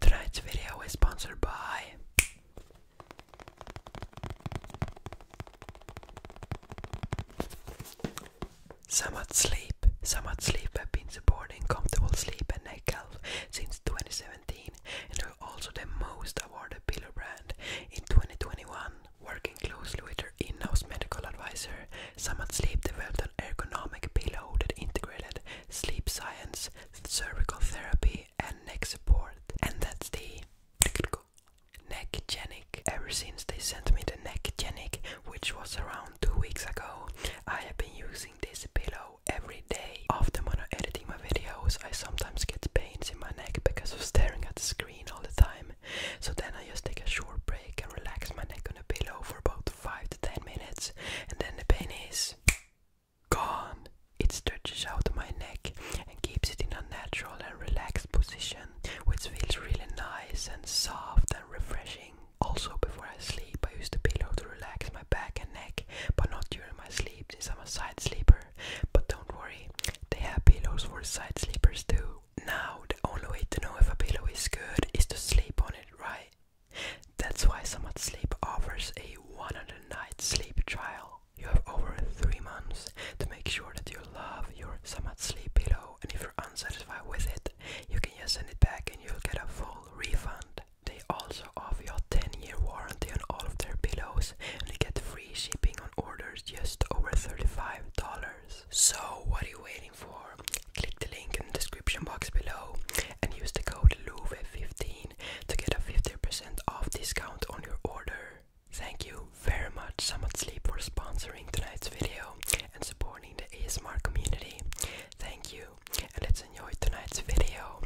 Tonight's video is sponsored by Samad Sleep. Samad Sleep have been supporting comfortable sleep and neck health since 2017 and are also the most awarded pillow brand in 2021. Working closely with their in-house medical advisor, Samad Sleep developed an ergonomic pillow that integrated sleep science, cervical therapy, and neck support. And that's the Neckgenic. Ever since they sent me the Neckgenic, which was around two weeks ago, I have been using this pillow every day. After when I'm editing my videos, I sometimes get pains in my neck because of staring at the screen all the time. So then I just take a short break and relax my neck on pillow for about 5 to 10 minutes and then the pain is gone. It stretches out my neck and keeps it in a natural and relaxed position, which feels really nice and soft and refreshing. Also, before I sleep, I use the pillow to relax my back and neck, but not during my sleep since I'm a side sleeper. But don't worry, they have pillows for side sleepers too. Now, the only way to know if a pillow is good is to sleep on it, right? That's why Somat Sleep offers a 100 night sleep trial. You have over 3 months to make sure that you love your Somat Sleep pillow, and if you're unsatisfied with it, you can just send it back and you'll get a full refund. They also offer a 10 year warranty on all of their pillows, and you get free shipping on orders just over $35. So, what are you waiting for? Click the link in the description box below and use the code LOUVE15 to get a 50% off discount on your order. Thank you very much Summit Sleep for sponsoring tonight's video and supporting the ASMR community. Thank you and let's enjoy tonight's video.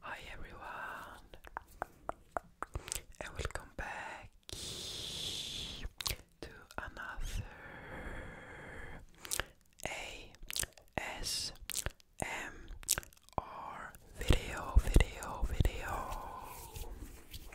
Hi everyone, and welcome back to another ASMR video, video, video.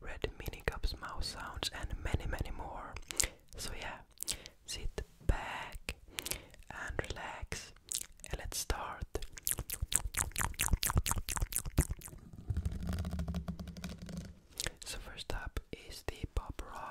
red mini cups, mouse sounds, and many, many more. So, yeah, sit back and relax, and let's start. So, first up is the Pop Rocks.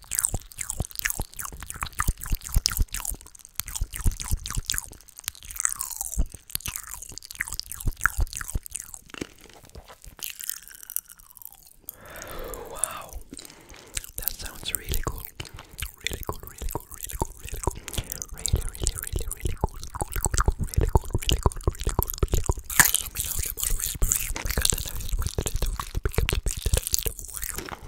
Wow, that sounds really cool. Really cool, really cool, really cool, really cool. Really, really, really, really cool. Cool, cool, cool, really cool, really cool, really cool, really cool. Let me know the more whispering because then I was wanted to pick up the big that I need to work on.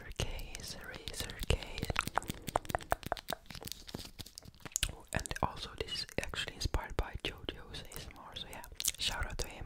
razor case, razor case. And also, this is actually inspired by JoJo's ASMR, so yeah, shout out to him.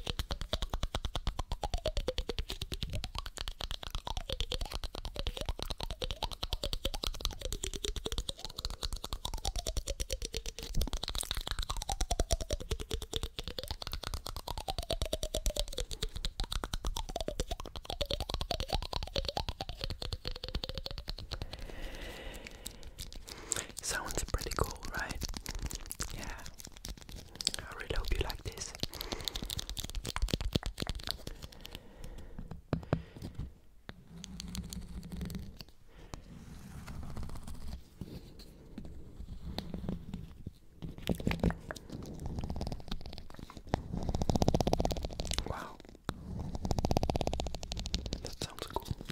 So it's pretty cool, right? Yeah. I really hope you like this. Wow. That sounds cool.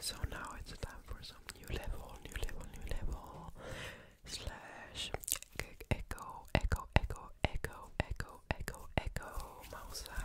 So now it's time for some new level, new level, new level slash echo, echo, echo, echo, echo, echo, echo, echo, mouth sound.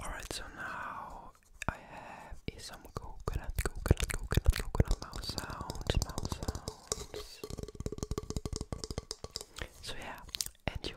Alright, so now I have some coconut, coconut, coconut, coconut mouse sound, mouse sound. So yeah, enjoy.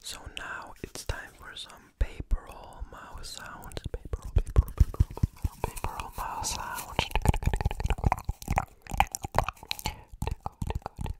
So now it's time for some paper roll mouse sounds. Paper roll, paper roll, paper roll, paper roll mouse sounds. Tickle, tickle, tickle,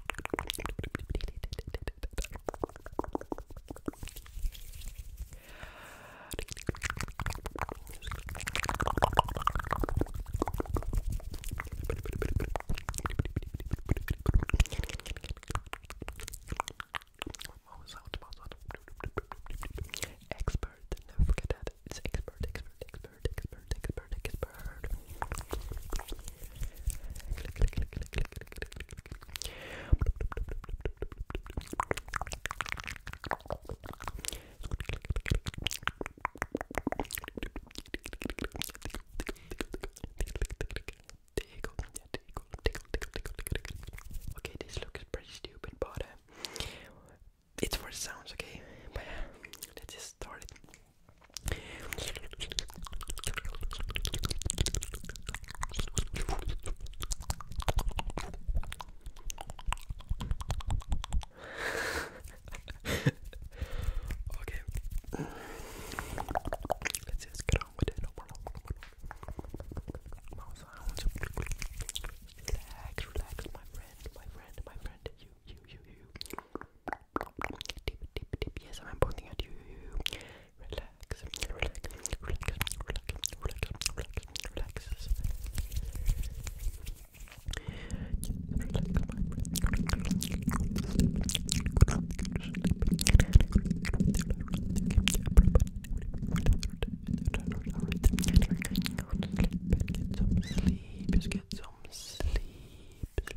Mouse sound, mouse sound. Expert, never forget that. It's expert, expert, expert, expert, expert, expert. Okay, this looks pretty stupid, but uh, it's for sounds, okay? But uh, let's just start okay. Let's just get on with it. Mouth sounds. Relax, relax, my friend, my friend, my friend. You, you, you, you. Yes, I'm pointing at you. Relax, relax, relax, relax, relax, relax, Just get some sleep, just get some sleep,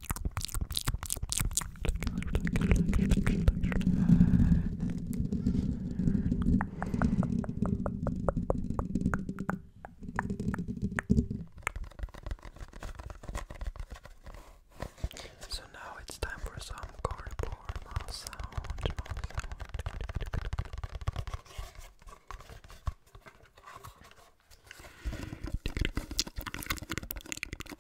So now it's time for some cardboard mouse sound. Mouse sound.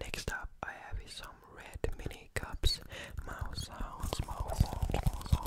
Next up, I have some red mini cups. Mouse sounds, mouse sounds, mouse sounds.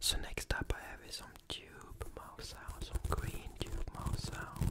So next up I have some tube mouth sound, some green tube mouth sound.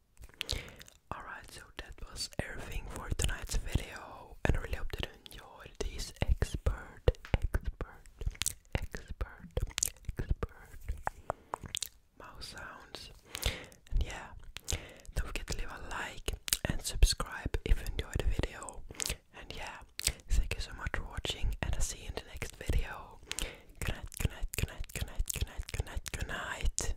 Alright, so that was everything for tonight's video, and I really hope that you enjoyed this expert, expert, expert, expert mouse sounds. And yeah, don't forget to leave a like and subscribe if you enjoyed the video. And yeah, thank you so much for watching, and I'll see you in the next video. Good night, good night, good night, good good night, good night, good night.